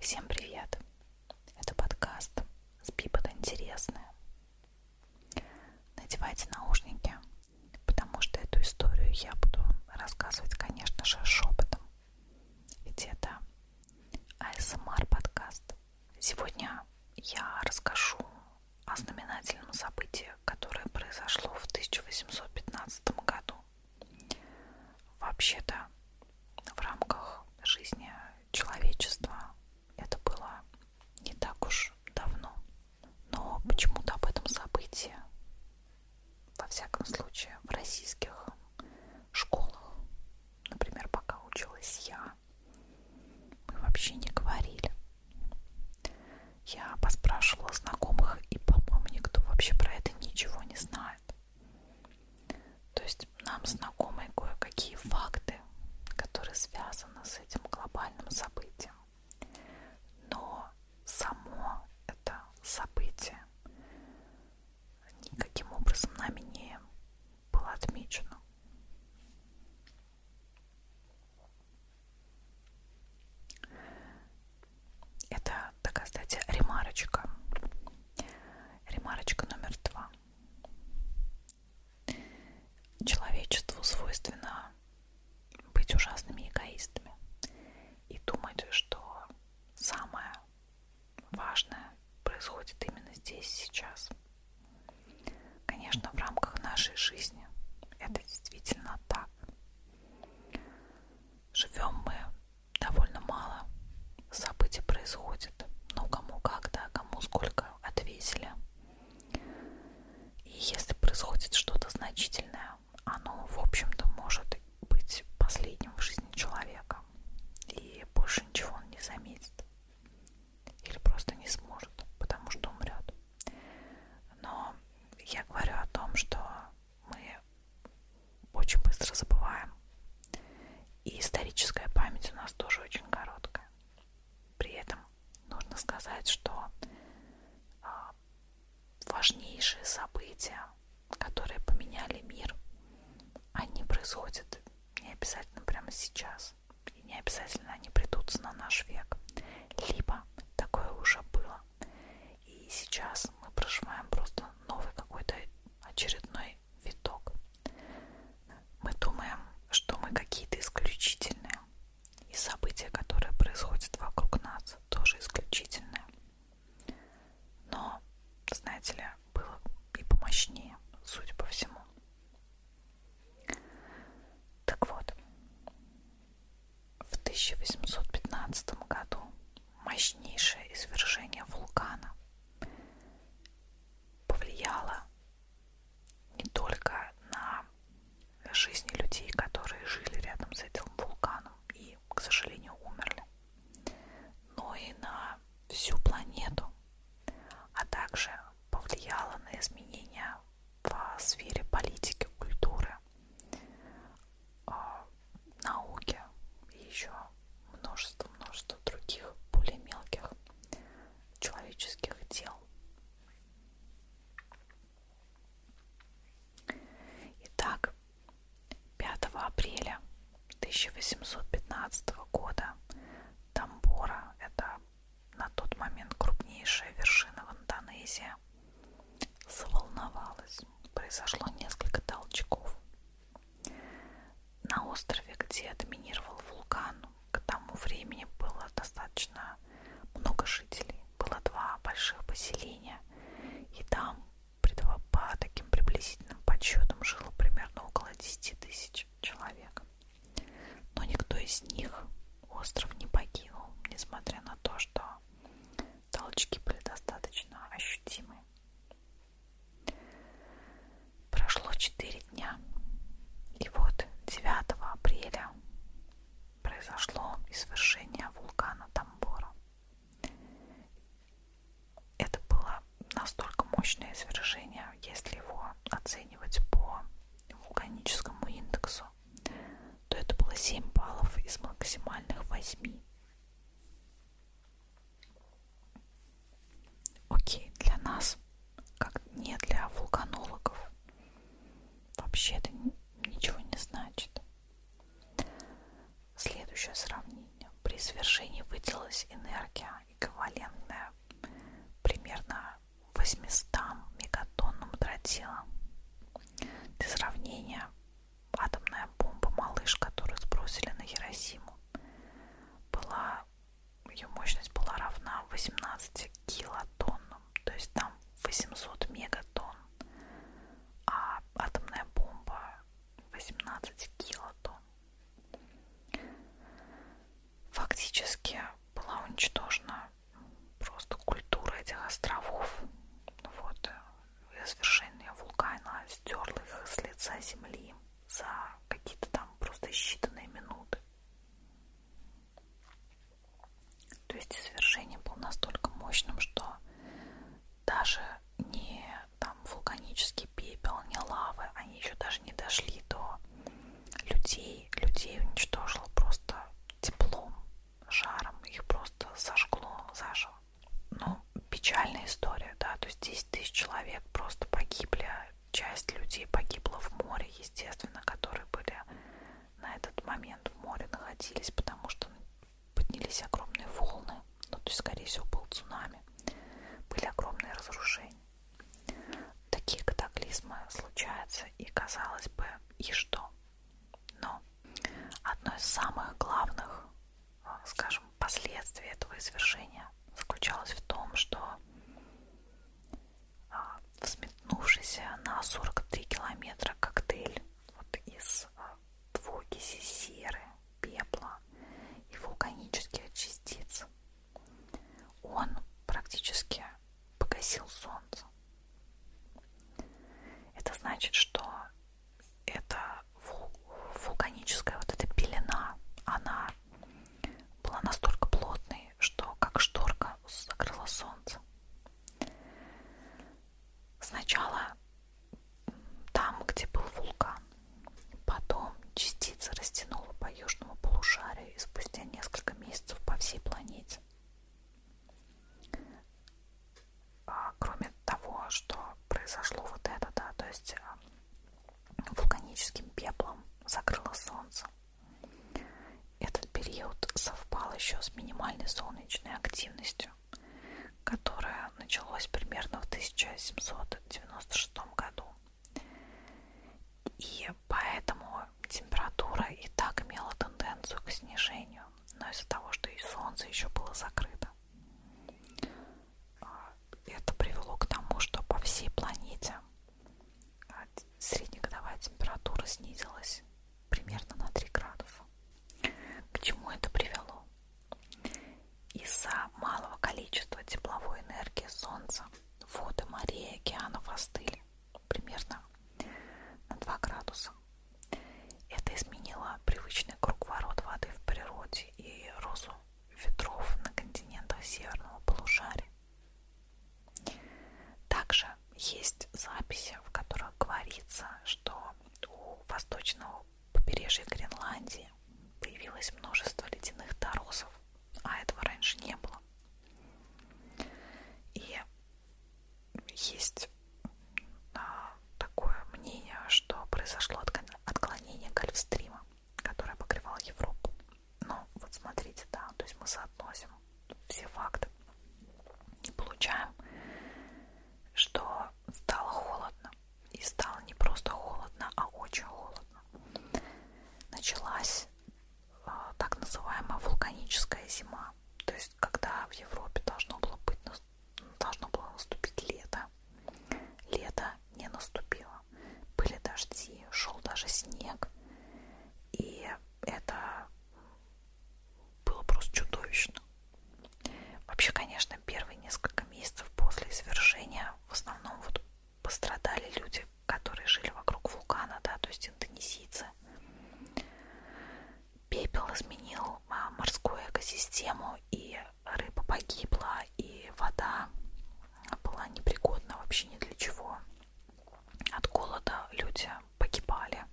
Всем привет! Это подкаст «Спи под интересное». Надевайте наушники, потому что эту историю я буду рассказывать, конечно же, шепотом. Ведь это АСМР-подкаст. Сегодня я расскажу о знаменательном событии, которое произошло в 1815 году. Вообще-то в рамках жизни человечества это было не так уж давно. Но почему-то об этом событии, во всяком случае, в российских школах, например, пока училась я, мы вообще не говорили. Я поспрашивала знакомых, и, по-моему, никто вообще про это ничего не знает бывает. То есть нам знакомы кое-какие факты, которые связаны с этим глобальным событием. Но само это событие никаким образом нами не было отмечено. Это такая, кстати, ремарочка. Ремарочка номер два. Человечеству свойственно быть ужасными эгоистами и думать, что самое важное происходит именно здесь, сейчас. Конечно, в рамках нашей жизни это действительно так. Живем мы довольно мало событий происходит. Ну, кому как, да, кому сколько отвесили. И если происходит что-то значительное, оно, в общем-то, может быть последним в жизни человека. И больше ничего он не заметит. Или просто не сможет, потому что умрет. Но я говорю о том, что мы очень быстро забываем. И историческая память у нас тоже очень короткая. При этом нужно сказать, что а, важнейшие события, которые поменяли мир, они происходят не обязательно прямо сейчас. И не обязательно они придутся на наш век. Либо такое уже было. И сейчас мы проживаем просто новый какой-то очередной виток. Мы думаем, что мы какие-то исключительные. И события, которые происходят вокруг нас, тоже исключительные. Но, знаете ли, было и помощнее, судя по всему. Так вот, в 1815 году мощнейшее извержение вулкана повлияло не только на жизни людей, которые жили рядом с этим вулканом и, к сожалению, умерли, но и на всю планету, а также повлияло на изменения в сфере политики, культуры, а, науке и еще множество-множество других более мелких человеческих дел. Итак, 5 апреля 1815 года Тамбора, это на тот момент крупнейшая вершина в Индонезии, заволновалась. Произошло несколько толчков на острове, где доминировал вулкан, к тому времени было достаточно много жителей. Было два больших поселения, и там по таким приблизительным подсчетам жило примерно около 10 тысяч человек. Но никто из них остров не покинул, несмотря на то, что толчки были достаточно ощутимы. Прошло четыре дня. И вот 9 апреля произошло извержение вулкана Тамбора. Это было настолько мощное извержение, если его оценивать по вулканическому индексу, то это было 7 баллов из максимальных 8. Окей, для нас, как не для вулканологов, вообще это ничего не значит. Следующее сравнение. При свержении выделилась энергия, эквивалентная примерно 800 мегатонным тротилам. Для сравнения, атомная бомба «Малыш», которую сбросили на Хиросиму, была, ее мощность была равна 18 килотоннам, то есть там 800 мегатонн, а атомная бомба 18 килотонн. Фактически была уничтожена просто культура этих островов. Вот извержения вулкана стерла их с лица земли за какие-то там просто считанные минуты. То есть извержение было настолько мощным, что даже не там вулканический пепел, не лавы, они еще даже не дошли до людей. Людей уничтожило просто теплом, жаром, их просто сожгло заживо ну, печальная история, да, то есть 10 тысяч человек просто погибли, а часть людей погибла в море, естественно, которые были на этот момент в море находились, потому что поднялись огромные волны, ну, то есть, скорее всего, был цунами, были огромные разрушения. Такие катаклизмы случаются, и, казалось бы, и что? Но одно из самых главных, а, скажем, последствие этого извержения заключалось в том, что а, взметнувшийся на 43 километра коктейль вот из а, двуокиси серы, пепла и вулканических частиц, он практически погасил солнце. Это значит, что это вулканическая вот эта пелена, она была настолько плотной, что как шторка закрыла солнце. Сначала там, где был вулкан, потом частица растянула по южному полушарию и спустя несколько месяцев по всей планете. А, кроме того, что произошло вот это, да, то есть а, вулканическим пеплом закрыло солнце. Этот период совпал еще с минимальной солнечной активностью, которая началась примерно в 1796 году. И поэтому температура и так имела тенденцию к снижению, но из-за того, что и солнце еще было закрыто, это привело к тому, что по всей планете а, среднегодовая температура снизилась примерно на 3 градуса. К чему это привело? Из-за малого количества тепловой энергии Солнца воды морей и океанов остыли примерно на 2 градуса. Это изменило привычный круговорот воды в природе дождь и розу ветров на континентах северного полушария. Также есть записи, в которых говорится, что у восточного побережья Гренландии появилось множество ледяных торосов, а этого раньше не было. И есть такое мнение, что произошло отклонение гольфстрима, которое покрывало Европу. Но вот смотрите, да, то есть мы соотносим все факты и получаем, что стало холодно. И стало не просто холодно, а очень холодно. Началась э, так называемая вулканическая зима. То есть, когда в Европе должно было быть должно было наступить лето. Лето не наступило. Были дожди, шел даже снег. И это было просто чудовищно. Вообще, конечно, первые несколько месяцев после извержения в основном вот пострадали люди, которые жили вокруг вулкана, да, то есть индонезийцы. Пепел изменил а, морскую экосистему, и рыба погибла, и вода была непригодна вообще ни для чего. От голода люди погибали.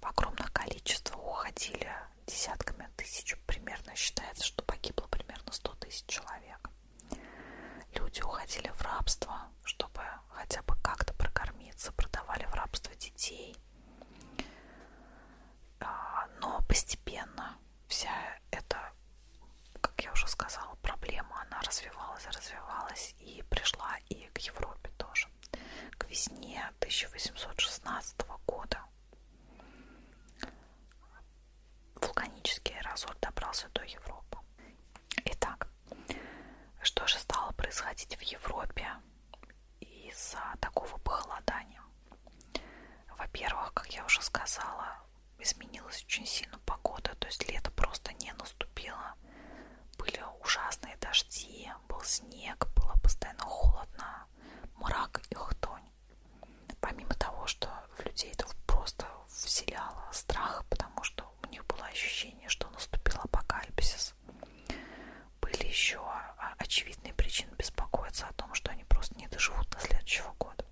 В огромных количествах уходили десятками тысяч. Примерно считается, что погибло примерно 100 тысяч человек. Люди уходили в рабство, чтобы хотя бы как-то прокормиться, продавали в рабство детей. А, но постепенно вся эта, как я уже сказала, проблема, она развивалась, развивалась и пришла и к Европе тоже. К весне 1816 года вулканический аэрозоль добрался до Европы. Итак, что же стало происходить в Европе из-за такого похолодания. Во-первых, как я уже сказала, изменилась очень сильно погода, то есть лето просто не наступило. Были ужасные дожди, был снег, было постоянно холодно, мрак и хтонь. Помимо того, что в людей это просто вселяло страх, потому что у них было ощущение, что наступил апокалипсис были еще а, очевидные причины беспокоиться о том, что они просто не доживут до следующего года.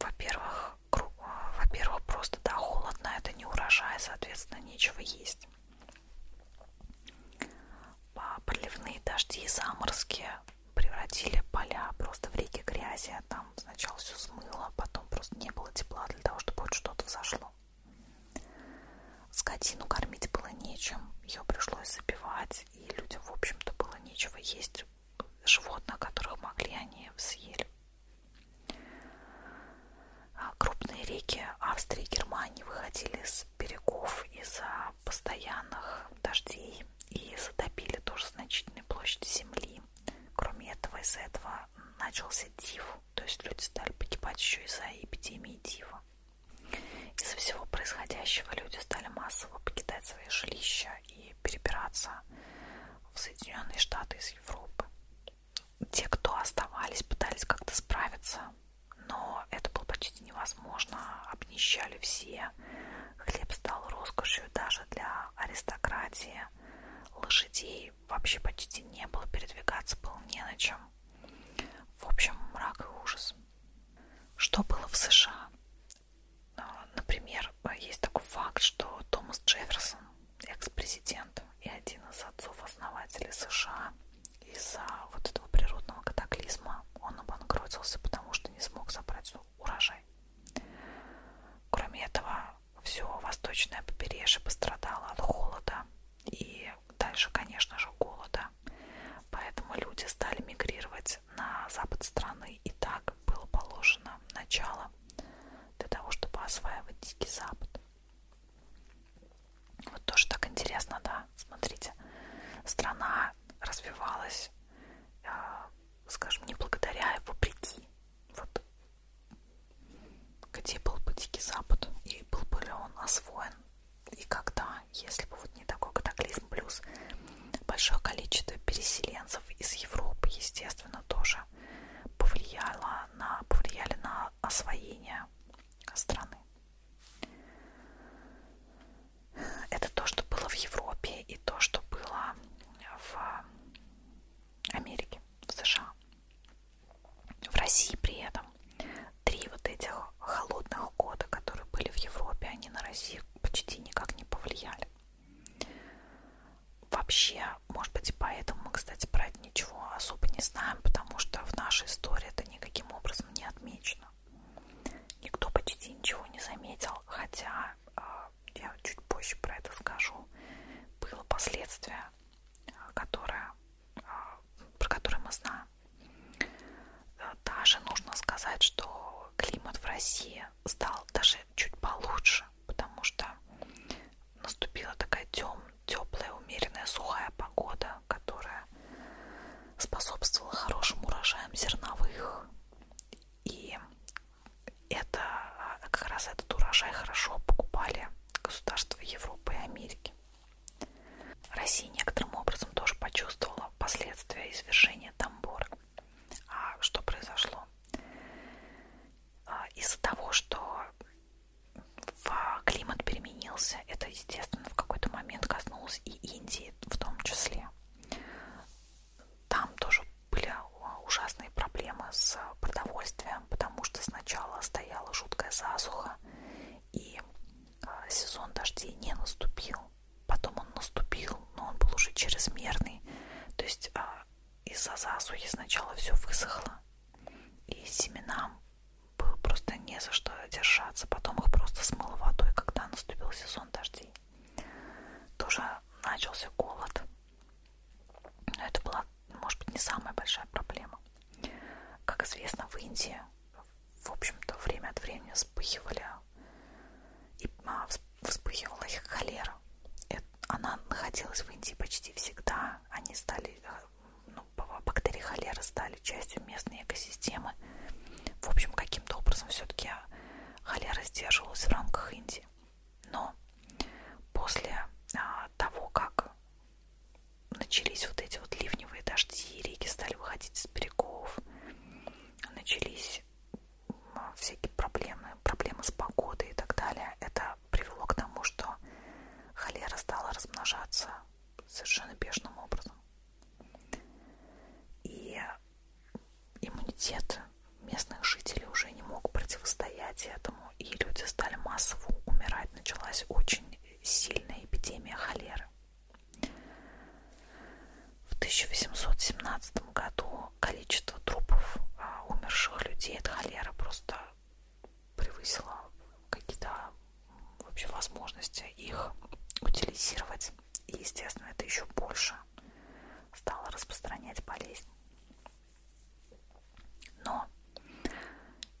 Во-первых, а, во-первых, просто да, холодно, это не урожай, соответственно, нечего есть. А, проливные дожди и заморозки превратили поля просто в реки грязи. Там сначала все смыло, потом просто не было тепла для того, чтобы хоть что-то взошло. Скотину кормить было нечем, ее пришлось забивать, и людям, в общем-то, было нечего есть. Животных, которых могли, они съели. А, крупные реки Австрии и Германии выходили с берегов из-за постоянных дождей и затопили тоже значительные площади земли. Кроме этого, из-за этого начался див, то есть люди стали погибать еще из-за эпидемии дива. Из-за всего происходящего люди стали массово покидать свои жилища и перебираться в Соединенные Штаты из Европы. Те, кто оставались, пытались как-то справиться, но это было почти невозможно. Обнищали все. Хлеб стал роскошью даже для аристократии. Лошадей вообще почти не было, передвигаться было не на чем. В общем, мрак и ужас. Что было в США? А, например, а, есть такой факт, что Томас Джефферсон, экс-президент и один из отцов-основателей США, из-за вот этого природного катаклизма он обанкротился, потому что не смог собрать урожай. Кроме этого, все восточное побережье пострадало от холода, и дальше, конечно же, голода. Поэтому люди стали мигрировать на запад страны, и так было положено начало для того, чтобы осваивать Дикий Запад. Вот тоже так интересно, да, смотрите. Страна развивалась, э, скажем, не благодаря, а вопреки. Вот где был бы Дикий Запад, и был бы ли он освоен и когда, если бы вот не такой катаклизм, плюс большое количество переселенцев из Европы, естественно, тоже повлияло на, повлияли на освоение страны. Это то, что было в Европе и то, что было в Америке, в США. В России при этом три вот этих холодных года, которые были в Европе, они на Россию почти никак не повлияли. Вообще, может быть, и поэтому мы, кстати, про это ничего особо не знаем, потому что в нашей истории это никаким образом не отмечено. Никто почти ничего не заметил, хотя, а, я чуть позже про это скажу, было последствие, а, которое про которые мы знаем. Э, даже нужно сказать, что климат в России стал даже чуть получше, потому что наступила такая тем, теплая, умеренная, сухая погода, которая способствовала хорошим урожаям зерновых. И это а, как раз этот урожай хорошо покупали государства Европы и Америки. Россия некоторым образом тоже почувствовала последствия извержения Тамбора. А что произошло? А, из-за того, что климат переменился, это, естественно, в какой-то момент коснулось и Индии в том числе. Там тоже были а, ужасные проблемы с продовольствием, потому что сначала стояла жуткая засуха, и а, сезон дождей не наступил. Потом он наступил, но он был уже чрезмерный. То есть а, из-за засухи сначала все высохло, и семенам было просто не за что держаться. Потом их просто смыло водой, когда наступил сезон дождей. Тоже начался голод. Но это была, может быть, не самая большая проблема. Как известно, в Индии в общем-то, время от времени вспыхивали, и а, вспыхивала их холера. Она находилась в Индии почти всегда. Они стали, э, ну, бактерии холеры стали частью местной экосистемы. В общем, каким-то образом все-таки холера сдерживалась в рамках Индии. Но после а, того, как начались вот эти вот ливневые дожди, реки стали выходить из берегов, начались а, всякие проблемы, проблемы с погодой и так далее. Это привело к тому, что холера стала размножаться совершенно бешеным образом. И иммунитет местных жителей уже не мог противостоять этому, и люди стали массово умирать. Началась очень сильная эпидемия холеры. В 1817 году количество трупов а, умерших людей от холеры просто превысило какие-то вообще возможности их утилизировать. И, естественно, это еще больше стало распространять болезнь. Но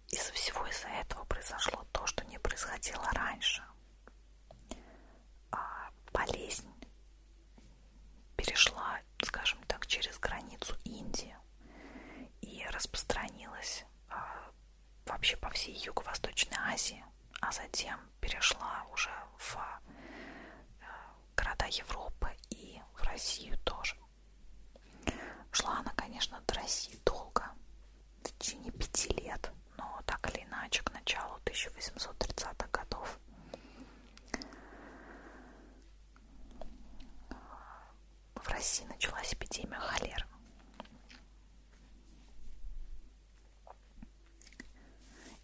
из-за всего из-за этого произошло то, что не происходило раньше. А болезнь перешла, скажем так, через границу Индии и распространилась а, вообще по всей Юго-Восточной Азии, а затем перешла уже в а, города Европы и в Россию тоже. Шла она, конечно, до России долго, в течение пяти лет, но так или иначе к началу 1830-х годов. В России началась эпидемия холеры.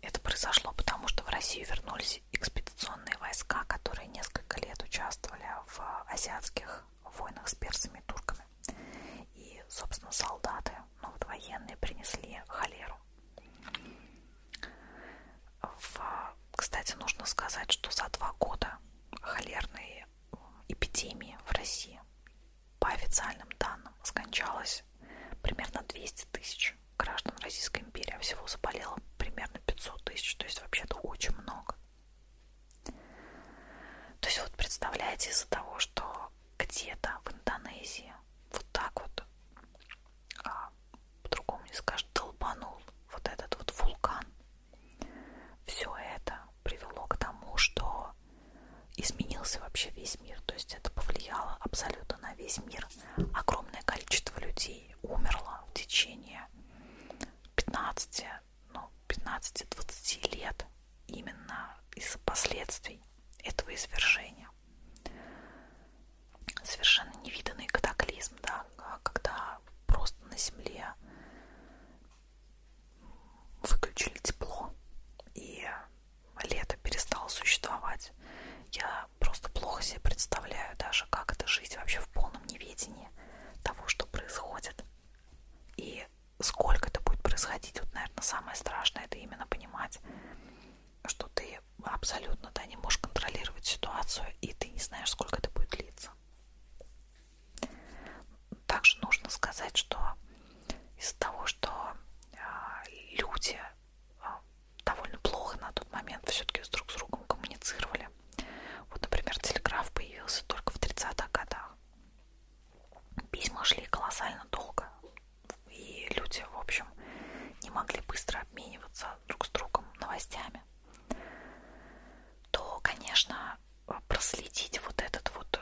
Это произошло потому, что в Россию вернулись экспедиционные войска, которые несколько лет участвовали в э, азиатских в войнах с персами и турками. И, собственно, солдаты, ну вот военные, принесли холеру. В... Кстати, нужно сказать, что за два года холерные эпидемии в России, по официальным данным, скончалось примерно 200 тысяч граждан Российской империи, а всего заболело примерно 500 тысяч, то есть вообще-то очень много. То есть вот представляете, из-за того, что где-то в Индонезии вот так вот, а, по-другому не скажешь, долбанул вот этот вот вулкан, все это привело к тому, что изменился вообще весь мир. То есть это повлияло абсолютно на весь мир. Огромное количество людей умерло в течение 15-20 ну, 15-20 лет именно из-за последствий этого извержения. Совершенно невиданный катаклизм, да, когда просто на Земле выключили тепло и лето перестало существовать. Я просто плохо себе представляю даже, как это жить вообще в полном неведении того, что происходит. И сколько это будет происходить, вот, наверное, самое страшное это именно понимать, что ты абсолютно да, не можешь контролировать ситуацию, и ты не знаешь, сколько это будет длиться. Также нужно сказать, что из-за того, что э, люди э, довольно плохо на тот момент все-таки друг с другом коммуницировали. Вот, например, телеграф появился только в 30-х годах. Письма шли колоссально долго, и люди, в общем, не могли быстро обмениваться друг с другом новостями, то, конечно, проследить вот этот вот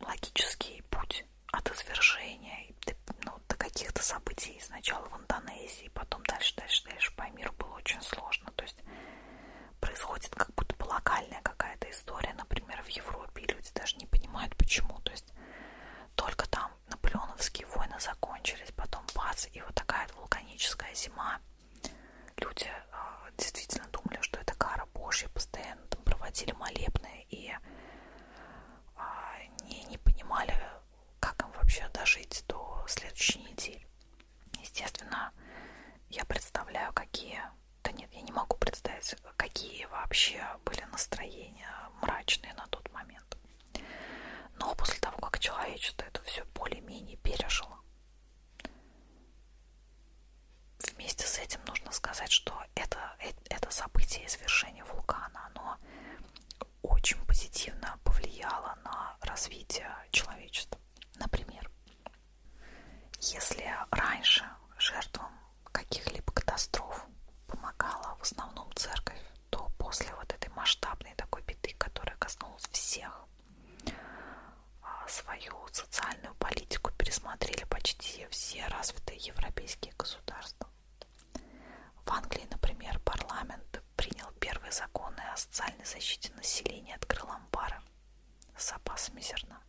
логический путь от извержения ну, до каких-то событий сначала в Индонезии, потом дальше, дальше, дальше по миру было очень сложно. То есть происходит как будто бы локальная какая-то история, например, в Европе, и люди даже не понимают почему. То есть только там наполеоновские войны закончились, потом бац, и вот такая вулканическая зима. Люди э, действительно думали, что это кара Божья, постоянно там проводили молебные и э, не, не понимали, как им вообще дожить до следующей недели. Естественно, я представляю, какие... Да нет, я не могу представить, какие вообще были настроения мрачные на тот момент. Но после того, как человечество это все более-менее пережило, вместе с этим нужно сказать, что это, это событие извержения вулкана, оно очень позитивно повлияло на развитие человечества. Например, если раньше жертвам каких-либо катастроф помогала в основном церковь, то после вот этой масштабной такой беды, которая коснулась всех, а, свою социальную политику пересмотрели почти все развитые европейские государства. В Англии, например, парламент принял первые законы о социальной защите населения от крыломбара, с запасами зерна.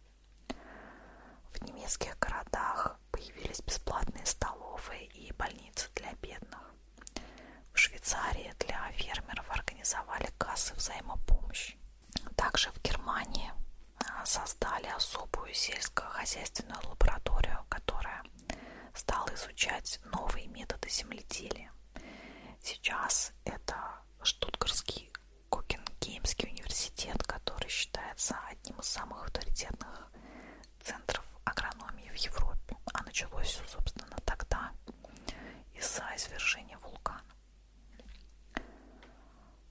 В немецких городах появились бесплатные столовые и больницы для бедных. В Швейцарии для фермеров организовали кассы взаимопомощи. Также в Германии а, создали особую сельскохозяйственную лабораторию, которая стала изучать новые методы земледелия. Сейчас это Штутгарский Кокингеймский университет, который считается одним из самых авторитетных центров агрономии в Европе. А началось все, собственно, тогда из-за извержения вулкана.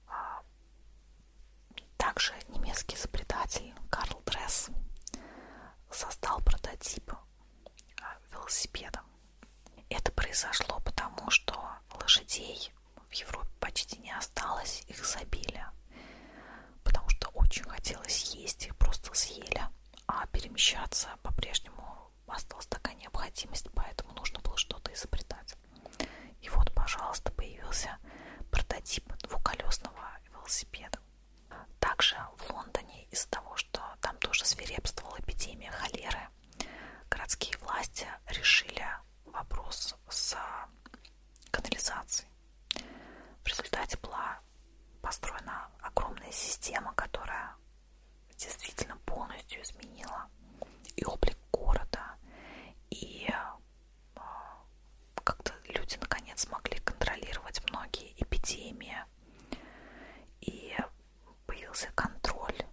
А, также немецкий изобретатель Карл Дресс создал прототип а, велосипеда, это произошло потому, что лошадей в Европе почти не осталось, их забили, потому что очень хотелось есть, их просто съели, а перемещаться по-прежнему осталась такая необходимость, поэтому нужно было что-то изобретать. И вот, пожалуйста, появился прототип двухколесного велосипеда. Также в Лондоне из-за того, что там тоже свирепствовала эпидемия холеры, городские власти решили вопрос с канализацией. В результате была построена огромная система, которая действительно полностью изменила и облик города, и а, как-то люди наконец смогли контролировать многие эпидемии. И появился контроль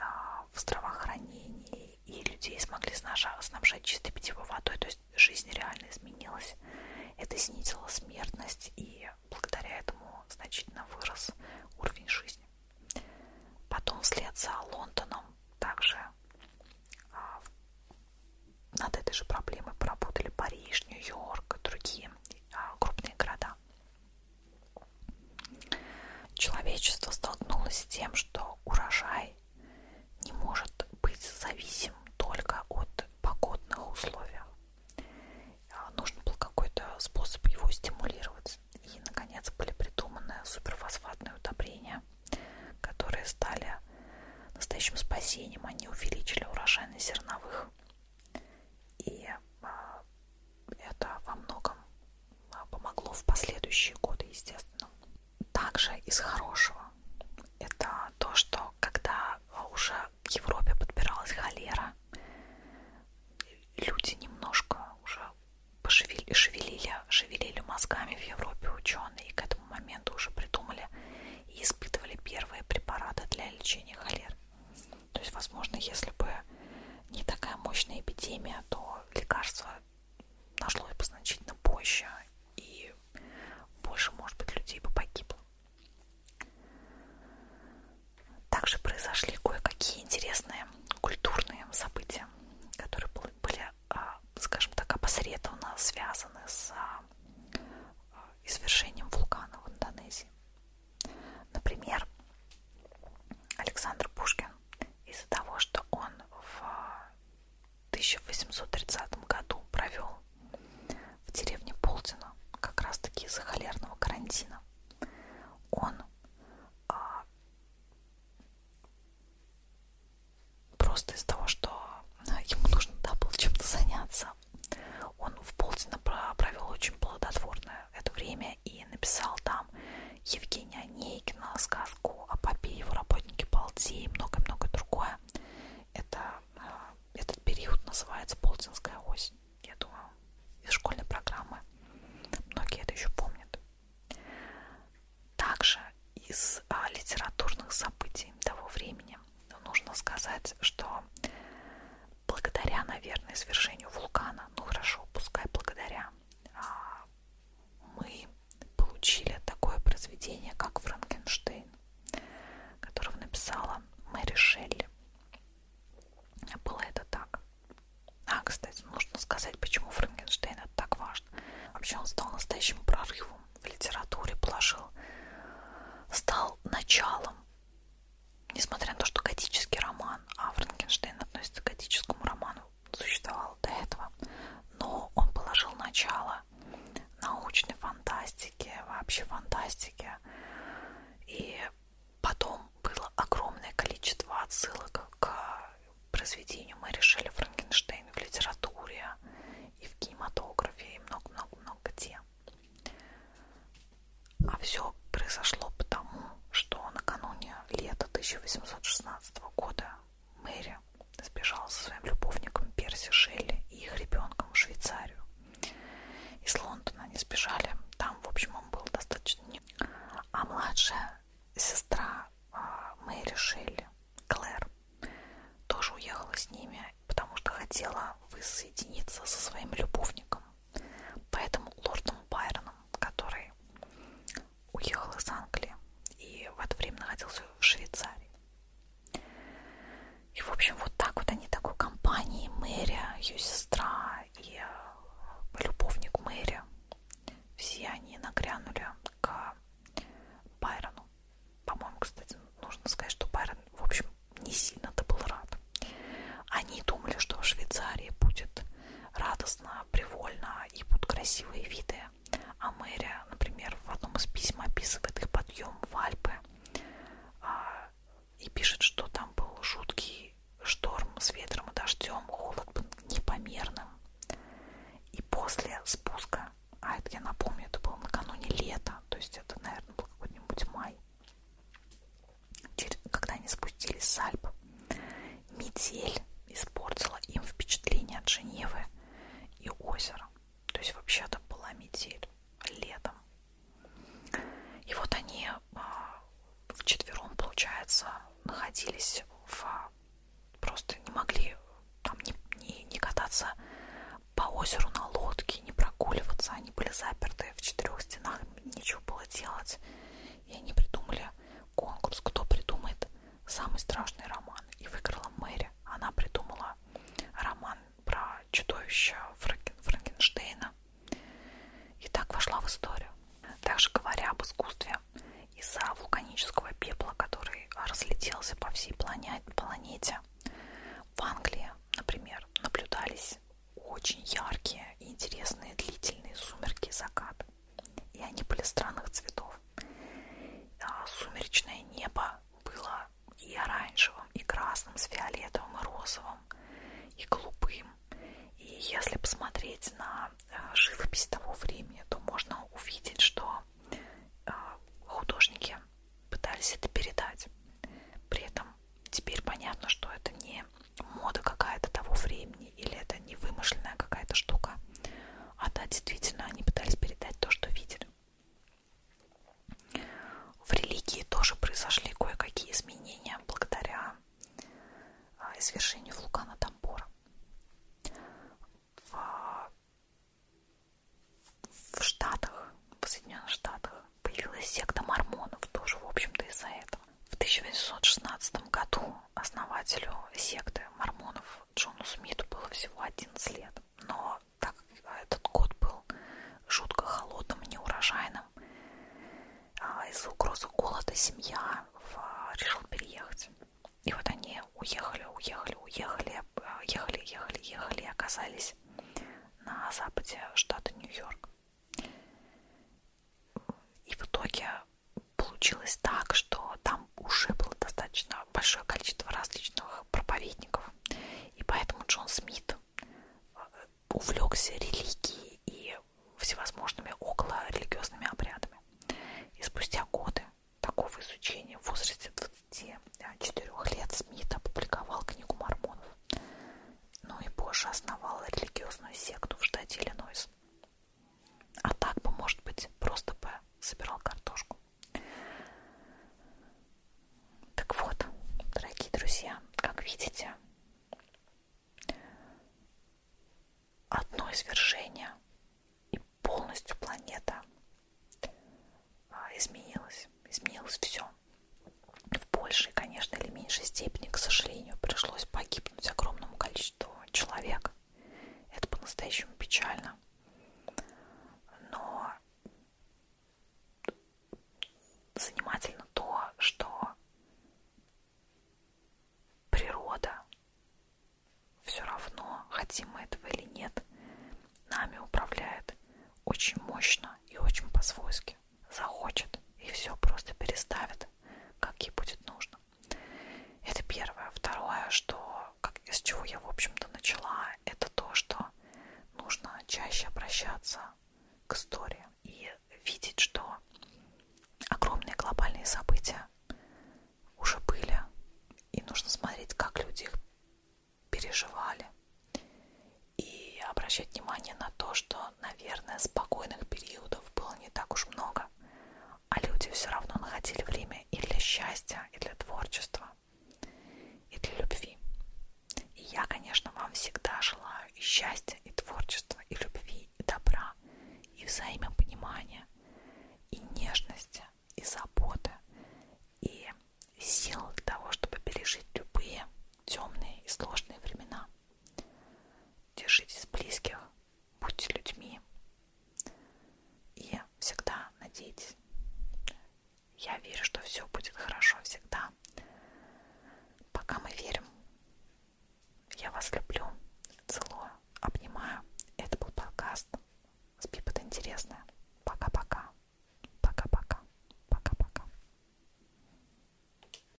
а, в здравоохранении, и людей смогли снабжать чистой питьевой водой, то есть жизнь реально изменилась. Это снизило смертность, и благодаря этому значительно вырос уровень жизни. Потом вслед за Лондоном также а, над этой же проблемой поработали Париж, Нью-Йорк и другие а, крупные города. Человечество столкнулось с тем, что урожай не может быть зависим только от погодных условий. А, Нужен был какой-то способ его стимулировать. И, наконец, были придуманы суперфосфатные удобрения, которые стали настоящим спасением. Они увеличили урожайность зерновых и а, это во многом а, помогло в последующие годы, естественно. Также из хорошего это то, что когда а, уже к Европе подбиралась холера, люди немножко уже пошевели, шевелили, шевелили мозгами в Европе ученые и к этому моменту уже придумали и испытывали первые препараты для лечения холеры. То есть, возможно, если бы не такая мощная эпидемия, то лекарство нашлось бы значительно позже, и больше, может быть, людей бы погибло. Также произошли кое-какие интересные культурные события, которые были, а, скажем так, опосредованно связаны с а, а, извержением вулкана в Индонезии. Например, Александр Пушкин из-за того, что он в 1830 году провел в деревне Полтина как раз-таки из-за холерного карантина, он а, просто из-за того, что а, ему нужно да, было чем-то заняться, он в Полтина провел очень плодотворное это время и написал там Евгения Онейкина, сказку о папе и его работнике Балти и много-много другое. Это, а, этот период называется Полтинская осень, я думаю, из школьной программы. Многие это еще помнят. Также из а, литературных событий того времени нужно сказать, что благодаря, наверное, свержению вулкана, ну хорошо, пускай благодаря, а, мы получили такое произведение, как Франкенштейн, которого написала Мэри Шелли. Было это так. А, кстати, нужно сказать, почему Франкенштейн это так важно. Вообще он стал настоящим прорывом в литературе, положил, стал началом несмотря на то, что готический роман, а Франкенштейн относится к готическому роману, существовал до этого, но он положил начало научной фантастике, вообще фантастике, и потом было огромное количество отсылок к произведению. Мы решили Франкенштейн в литературе и в кинематографе и много-много-много где. А все произошло потому, что накануне лета 1816 года Мэри сбежала со своим любовником Перси Шелли и их ребенком в Швейцарию. Из Лондона они сбежали, там, в общем, он был достаточно... А младшая сестра а, Мэри Шелли, Клэр, тоже уехала с ними, потому что хотела воссоединиться со своим любовником. Поэтому лордом Байроном, который уехал из Англии и в это время находился в Швейцарии. И, в общем, вот так вот они такой компании Мэри, ее сестра и э, любовник Мэри, все они нагрянули к Байрону. По-моему, кстати, нужно сказать, что Байрон, в общем, не сильно-то был рад. Они думали, что в Швейцарии будет радостно, привольно и будут красивые виды. А мэрия, например, в одном из писем описывает их подъем в Альпы а, и пишет, что там был жуткий шторм с ветром и дождем, холод был непомерным. И после спуска, а это я напомню, это было накануне лета, то есть это, наверное, был какой-нибудь май, когда они спустились с Альп, метель испортила им впечатление от Женевы и озера. То есть вообще-то была метель летом. И вот они а, вчетвером, получается, находились в... Просто не могли там не, не, не кататься по озеру на лодке, не прогуливаться. Они были заперты в четырех стенах, нечего было делать. И они придумали конкурс, кто придумает самый страшный роман. И выиграла Мэри. Она придумала роман про чудовище Франкен, Франкенштейна. И так вошла в историю. Также говоря об искусстве из-за вулканического пепла, который разлетелся по всей планете, планете, в Англии, например, наблюдались очень яркие и интересные длительные сумерки закат. И они были странных цветов. А сумеречное небо было и оранжевым, и красным, с фиолетовым, и розовым, и голубым. И если посмотреть на э, живопись того времени, то можно увидеть, что э, художники пытались это передать. При этом теперь понятно, что это не мода какая-то того времени или это не вымышленная какая-то штука. А да, действительно, они пытались передать то, что видели. В религии тоже произошли кое-какие изменения благодаря а, извержению вулкана Тамбора. В, в Штатах, в Соединенных Штатах появилась секта мормонов тоже, в общем-то, из-за этого. В 1816 году основателю секты мормонов Джону Смиту было всего 11 лет, но так как этот год был жутко холодным и неурожайным, а, из-за угрозы голода семья а, решила переехать. И вот они уехали, уехали, уехали, а, ехали, ехали, ехали и оказались на западе штата Нью-Йорк. И в итоге получилось так, что там уже было достаточно большое количество различных проповедников. И поэтому Джон Смит э, увлекся религией и всевозможными около религиозными обрядами. И спустя годы такого изучения в возрасте 24 лет Смит опубликовал книгу мормонов ну и позже основала религиозную секту в штате Иллинойс. А так бы, может быть, просто бы собирал картошку. Так вот, дорогие друзья, как видите, одно извержение и полностью планета а, изменилось. Изменилось все в большей, конечно, или меньшей степени, к сожалению, пришлось погибнуть огромному количеству человек. Это по-настоящему печально. Но занимательно то, что природа все равно, хотим мы этого или нет, нами управляет очень мощно и очень по-свойски захочет и все просто переставит, как ей будет нужно. Это первое. Второе, что как, с чего я, в общем-то, начала, это то, что нужно чаще обращаться к истории и видеть, что огромные глобальные события уже были, и нужно смотреть, как люди их переживали, и обращать внимание на то, что, наверное, спокойных периодов часов было не так уж много, а люди все равно находили время и для счастья, и для творчества, и для любви. И я, конечно, вам всегда желаю и счастья, и творчества, и любви, и добра, и взаимопонимания, и нежности, и заботы, и сил для того, чтобы пережить любые темные и сложные времена. Держитесь близких, будьте людьми и всегда надейтесь. Я верю, что все будет хорошо всегда. Пока мы верим. Я вас люблю, целую, обнимаю. Это был подкаст. Спи под интересное. Пока-пока. Пока-пока. Пока-пока.